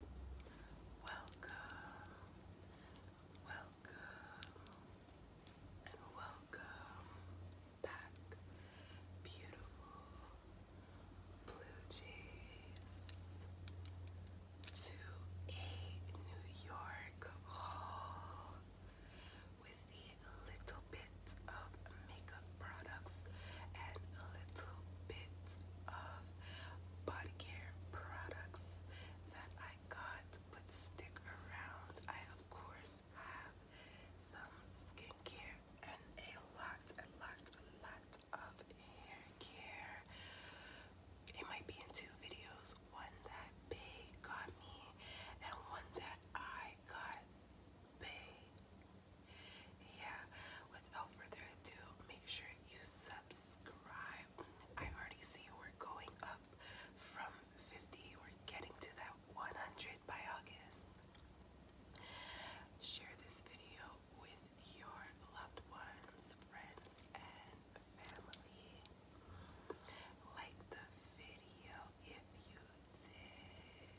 Welcome, welcome, welcome back, beautiful blue jays, to a New York haul with a little bit of makeup products and a little bit of body care products that I got but stick around. I of course have some skincare and a lot, a lot, a lot of hair care. It might be in two videos, one that Bay got me and one that I got Bay. Yeah, without further ado, make sure you subscribe. I already see we're going up from 50, we're getting to that 100 by August. Share this video with your loved ones, friends, and family. Like the video if you did.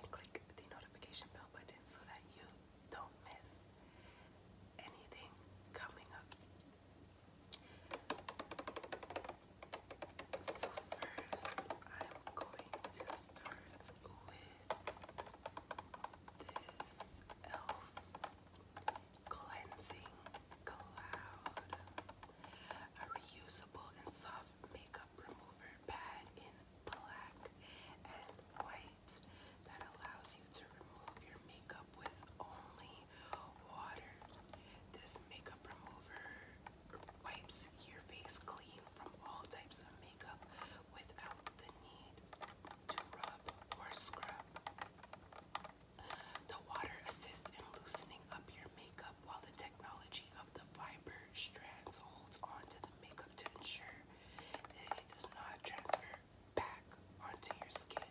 And click the notification bell button so that you don't miss anything coming up. So, first, I'm going to start with this e.l.f. Cleansing Cloud, a reusable and soft makeup remover pad in black and white that allows you to remove your makeup with only water. This makeup remover wipes your face clean from all types of makeup without the need to rub or scrub. The water assists in loosening up your makeup while the technology of the fiber strands holds onto the makeup to ensure that it does not transfer back onto your skin.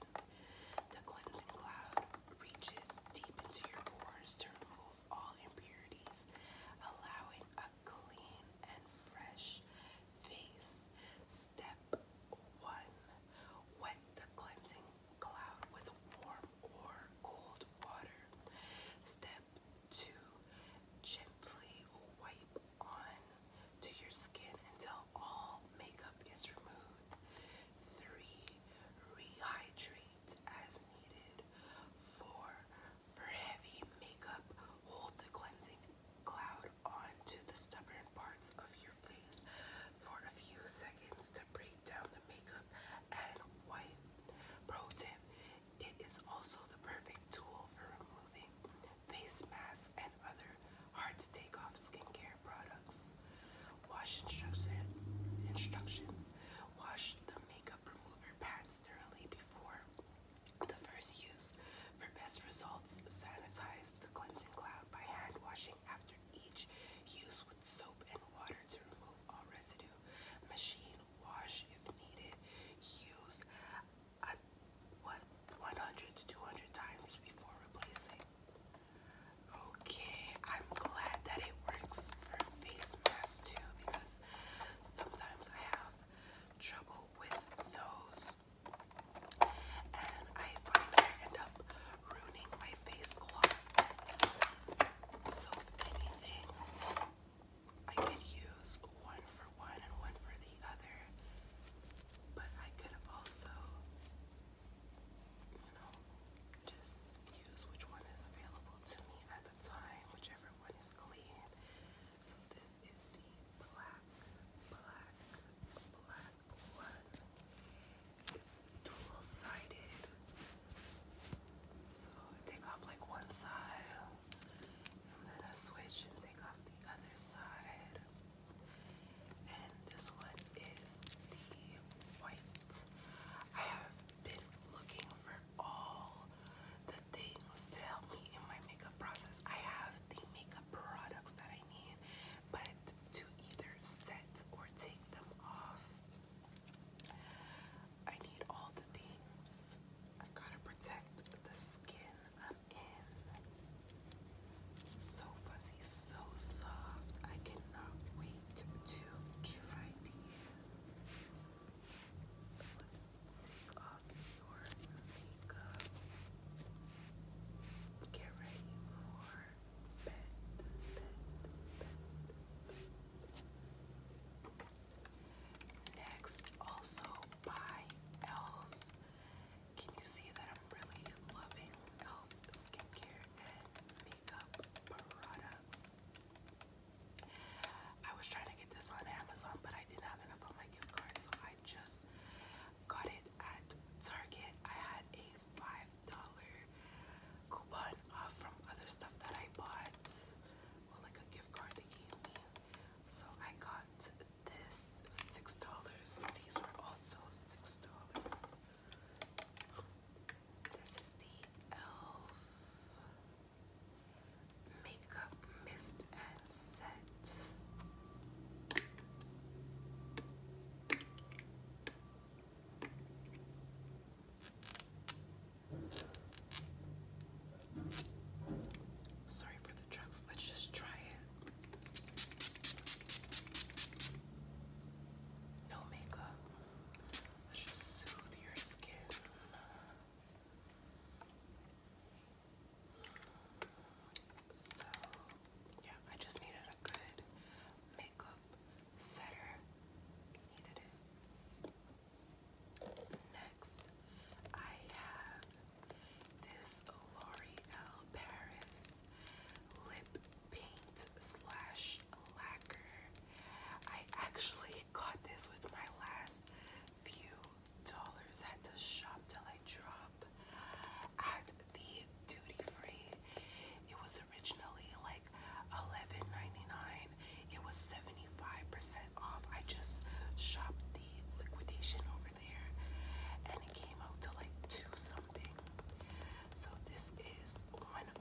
The cleansing cloud reaches deep into your pores to remove all impurities, allowing a clean and fresh face. Step 1. Wet the cleansing cloud with warm or cold water. Step 2 wipe on to your skin until all makeup is removed. 3. Rehydrate as needed. 4. For heavy makeup, hold the cleansing cloud onto the stubborn parts of your face for a few seconds to break down the makeup and wipe. Pro tip, it is also the perfect tool for removing face masks, and other hard to take off skincare products. Wash instruction, instructions. Wash the makeup remover pads thoroughly before the first use. For best results, sanitize the Clinton cloud by hand washing after each use with soap and water to remove all residue. Machine wash if needed. Use a, what 100 to 200 times before replacing. Okay, I'm glad that it works for face masks too because sometimes I have trouble with those. And I end up ruining my face cloth. So if anything, I could use one for one and one for the other. But I could also, you know, just use which one is available to me at the time, whichever one is clean. So this is the black, black, black one. It's dual sided. So take off like one side, let us switch and take off the other side. And this one is the white. I have been looking for all the things to help me in my makeup process. I have the makeup products that I need, but to either set or take them off, I need all the things. I gotta protect the skin in. So fuzzy, so soft. I cannot wait to try these. Let's take off your makeup. Get ready for bed, bed, bed, bed. Next, also by e.l.f. Can you see that I'm really loving e.l.f. skincare and makeup products? I was trying to get this on Amazon, but I didn't have enough on my gift card, so I just got it at Target. I had a $5 coupon off from other stuff that I bought. Well, like a gift card they gave me. So I got this six dollars. These were also six dollars. This is the Elf Makeup Mist and Set. Sorry for the drugs. Let's just try it. No makeup. Let's just soothe your skin. So, yeah, I just needed a good makeup setter. Needed it. Next, I have this L'Oreal Paris lip paint slash lacquer. I actually got this with my last few dollars Had to shop till I drop at the duty free. It was originally like eleven ninety nine. It was 75% off. I just shopped the liquidation over there and it came out to like two something. So this is 101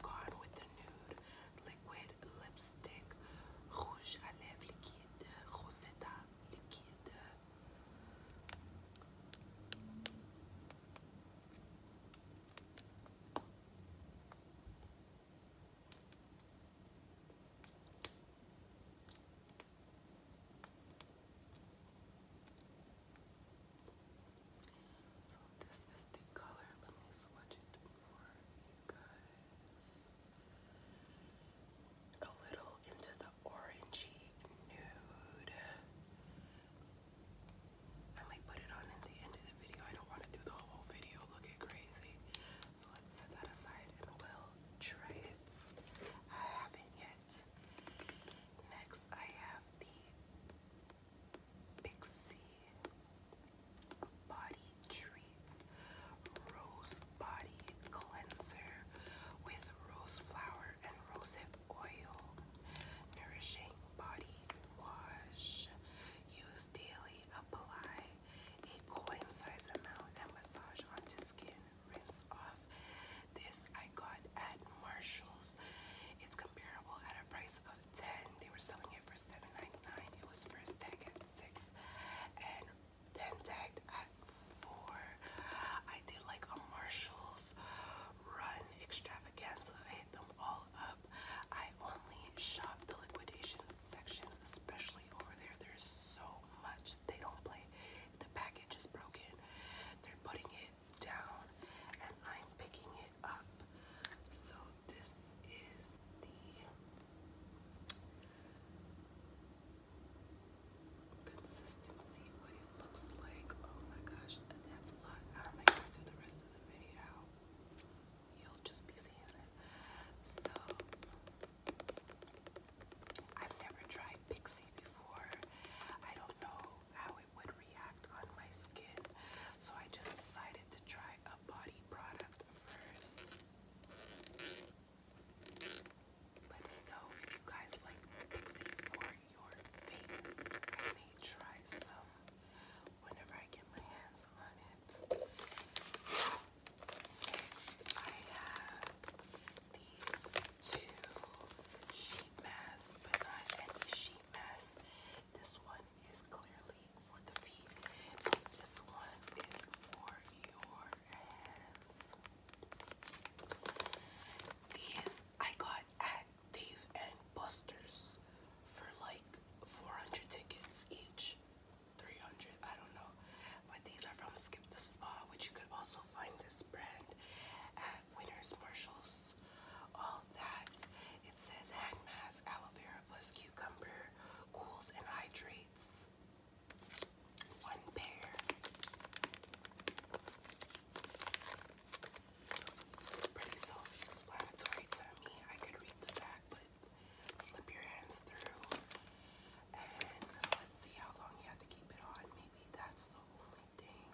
Gone with the Nude Liquid Lipstick Rouge à lèvres liquide, so this is the color. Let me swatch it for you guys. A little into the orangey nude. I might put it on at the end of the video. I don't want to do the whole video looking crazy. So let's set that aside and we'll try it. I haven't yet. Next, I have the Pixie Body Treats Rose Body Cleanser with rose flower and rosehip oil. Nourishing body wash. Use daily. Apply a coin size amount and massage onto skin rinse off. This I got at Marshall's. It's comparable at a price of 10. They were selling it for $7.99. It was first tag at 6 and then tagged at 4. I did like a Marshall's run extravaganza. I hit them all up. I only shop the liquidation sections, especially over there. There's so much. They don't play. the package is broken, they're putting it down and I'm picking it up. So this is the consistency, what it looks like. Oh my gosh, that's a lot. I might go through the rest of the video. You'll just be seeing it. So I've never tried Pixie before. I don't know how it would react on my skin, so I just decided to try a body product first. Let me know if you guys like Pixie for your face. I may try some whenever I get my hands on it. Next, I have these two sheet masks, but not any sheet masks. This one is clearly for the feet, and this one is for your hands. These I got at Dave and Buster's for like 400 tickets each. 300, I don't know. But these are from Skip the Spa, which you could also find this brand at Winners Marshalls. All that it says hand mask, aloe vera plus cucumber, cools and hydrates. One pair. So it's pretty self-explanatory me. I could read the back, but slip your hands through let's see how long you have to keep it on. Maybe that's the only thing.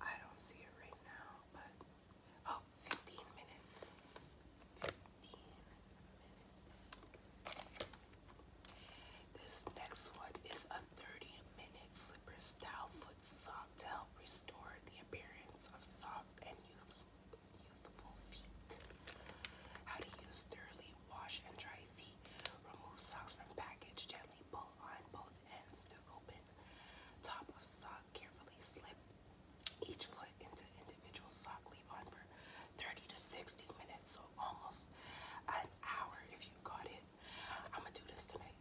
I don't see it right now, but oh, minutes. 15 minutes. This next one is a 30 minute slipper style foot sock to help restore the appearance of soft and youthful feet. How to use thoroughly wash and dry feet. Remove socks from package. Gently pull on both ends to open top of sock. Carefully slip each foot into individual sock. Leave on for 30 to 60 minutes, so almost an hour if you got it. I'm gonna do this tonight.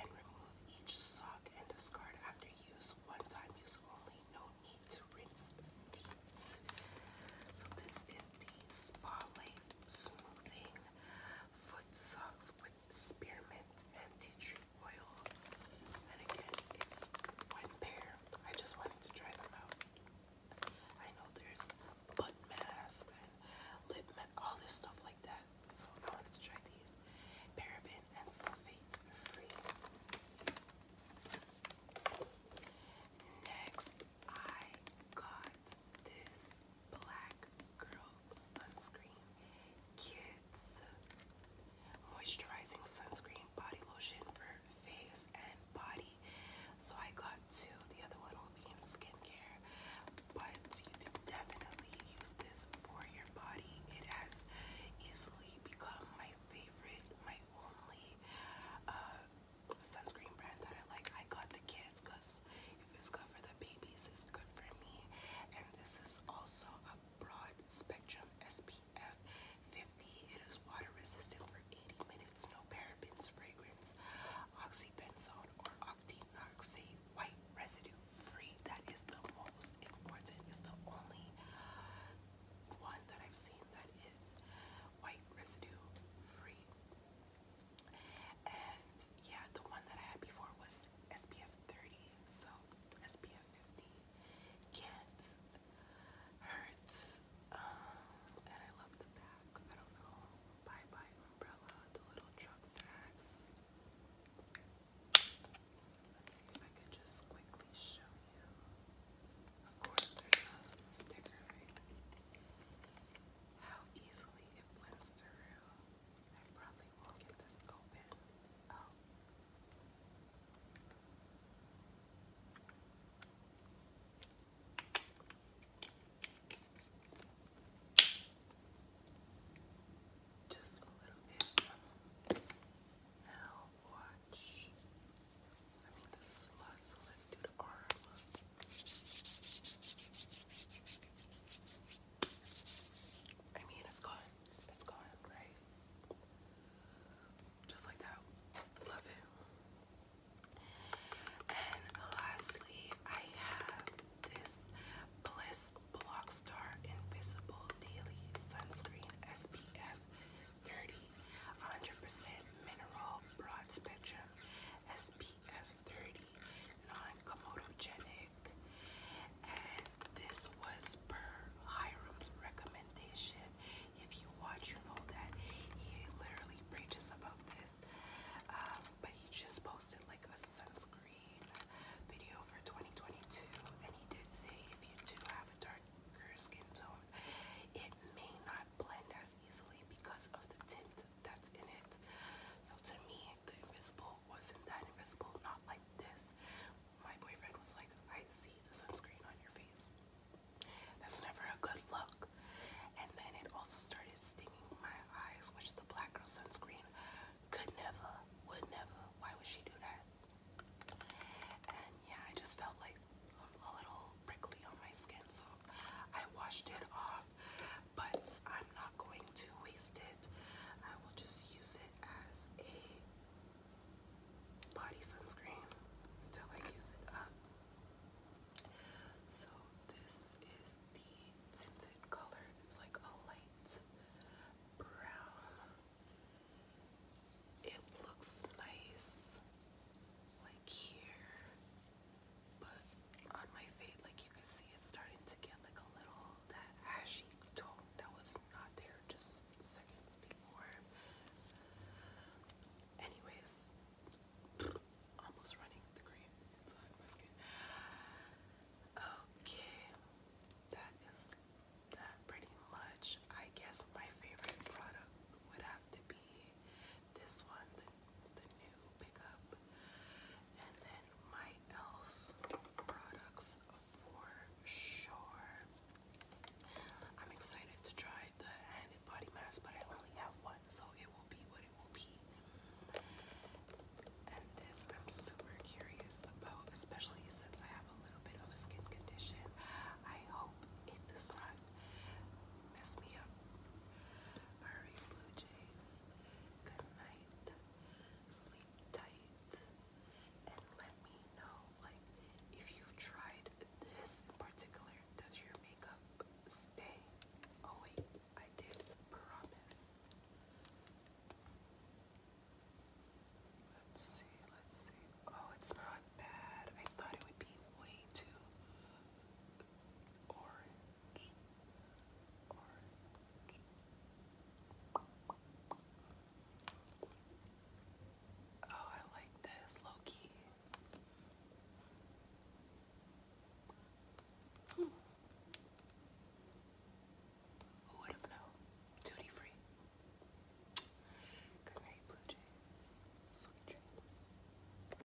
And remove each sock and discard after use. One time use only. No need to rinse feet. So this is the spotlight Smoothing Foot Socks with Spearmint and Tea Tree Oil. And again, it's one pair. I just wanted to try them out. I know there's butt masks and lip mask, all this stuff like that. So I wanted to try these. Paraben and sulfate free. Next I got this Black Girl Sunscreen Kids Moisturizing Sunscreen Body Lotion for face and body. So I got two. The other one will be in skincare, but you can definitely use this for your body. It has easily become my favorite, my only uh, sunscreen brand that I like. I got the kids because if it's good for the babies, it's good for me. And this is also a broad spectrum SPF 50. It is water resistant for 80 minutes, no parabens, fragrance, oxybenzone, or octinoxate, white residue free. That is the most important. It's the only one that I've seen that is white residue free. And yeah, the one that I had before was SPF 30, so SPF 50 can't hurt. Um, and I love the back. I don't know. Bye bye umbrella, the little truck tracks. Let's see if I can just quickly show you. Of course, there's a sticker, right? How easily it blends through. I probably won't get this open. Just a little bit. Now watch. I mean, this is a lot, so let's do the R I mean, it's gone. It's gone, right? Just like that. Love it. And lastly, I have this Bliss Blockstar Invisible Daily Sunscreen SPF 30, percent mineral broad spectrum. SPF 30 non-comedogenic and this was per Hiram's recommendation. If you watch, you know that he literally preaches about this, um, but he just posted like a sunscreen video for 2022 and he did say if you do have a darker skin tone, it may not blend as easily because of the tint that's in it. So to me, the invisible wasn't that invisible, not like this. My boyfriend was like, I see the sunscreen on your face. That's never a good look. And then it also started stinging my eyes, which the black girl sunscreen could never, would never. Why would she do that? And yeah, I just felt like a little prickly on my skin, so I washed it off. But I'm not going to waste it. I will just use it as a body sunscreen until I use it up. So this is the tinted color. It's like a light brown. It looks nice, like here. But on my fade, like you can see, it's starting to get like a little that ashy tone that was not there just seconds before. Anyways, almost running the cream inside my skin. Okay, that is that pretty much. I guess my favorite product would have to be this one, the, the new pickup, and then my e.l.f. products for sure. I'm excited to try the hand and body mask, but I only have one, so it will be what it will be. And this I'm super curious about, especially since I have a little bit of a skin condition. I hope it not Mess me up. Hurry, Blue Jays. Good night. Sleep tight. And let me know, like, if you tried this in particular, does your makeup stay? Oh, wait, I did promise. Let's see, let's see. Oh, it's not bad. I thought it would be way too orange. Oh, I like this, Loki. Hmm. Who would have known? Duty free. Good Blue Jays. Sweet dreams.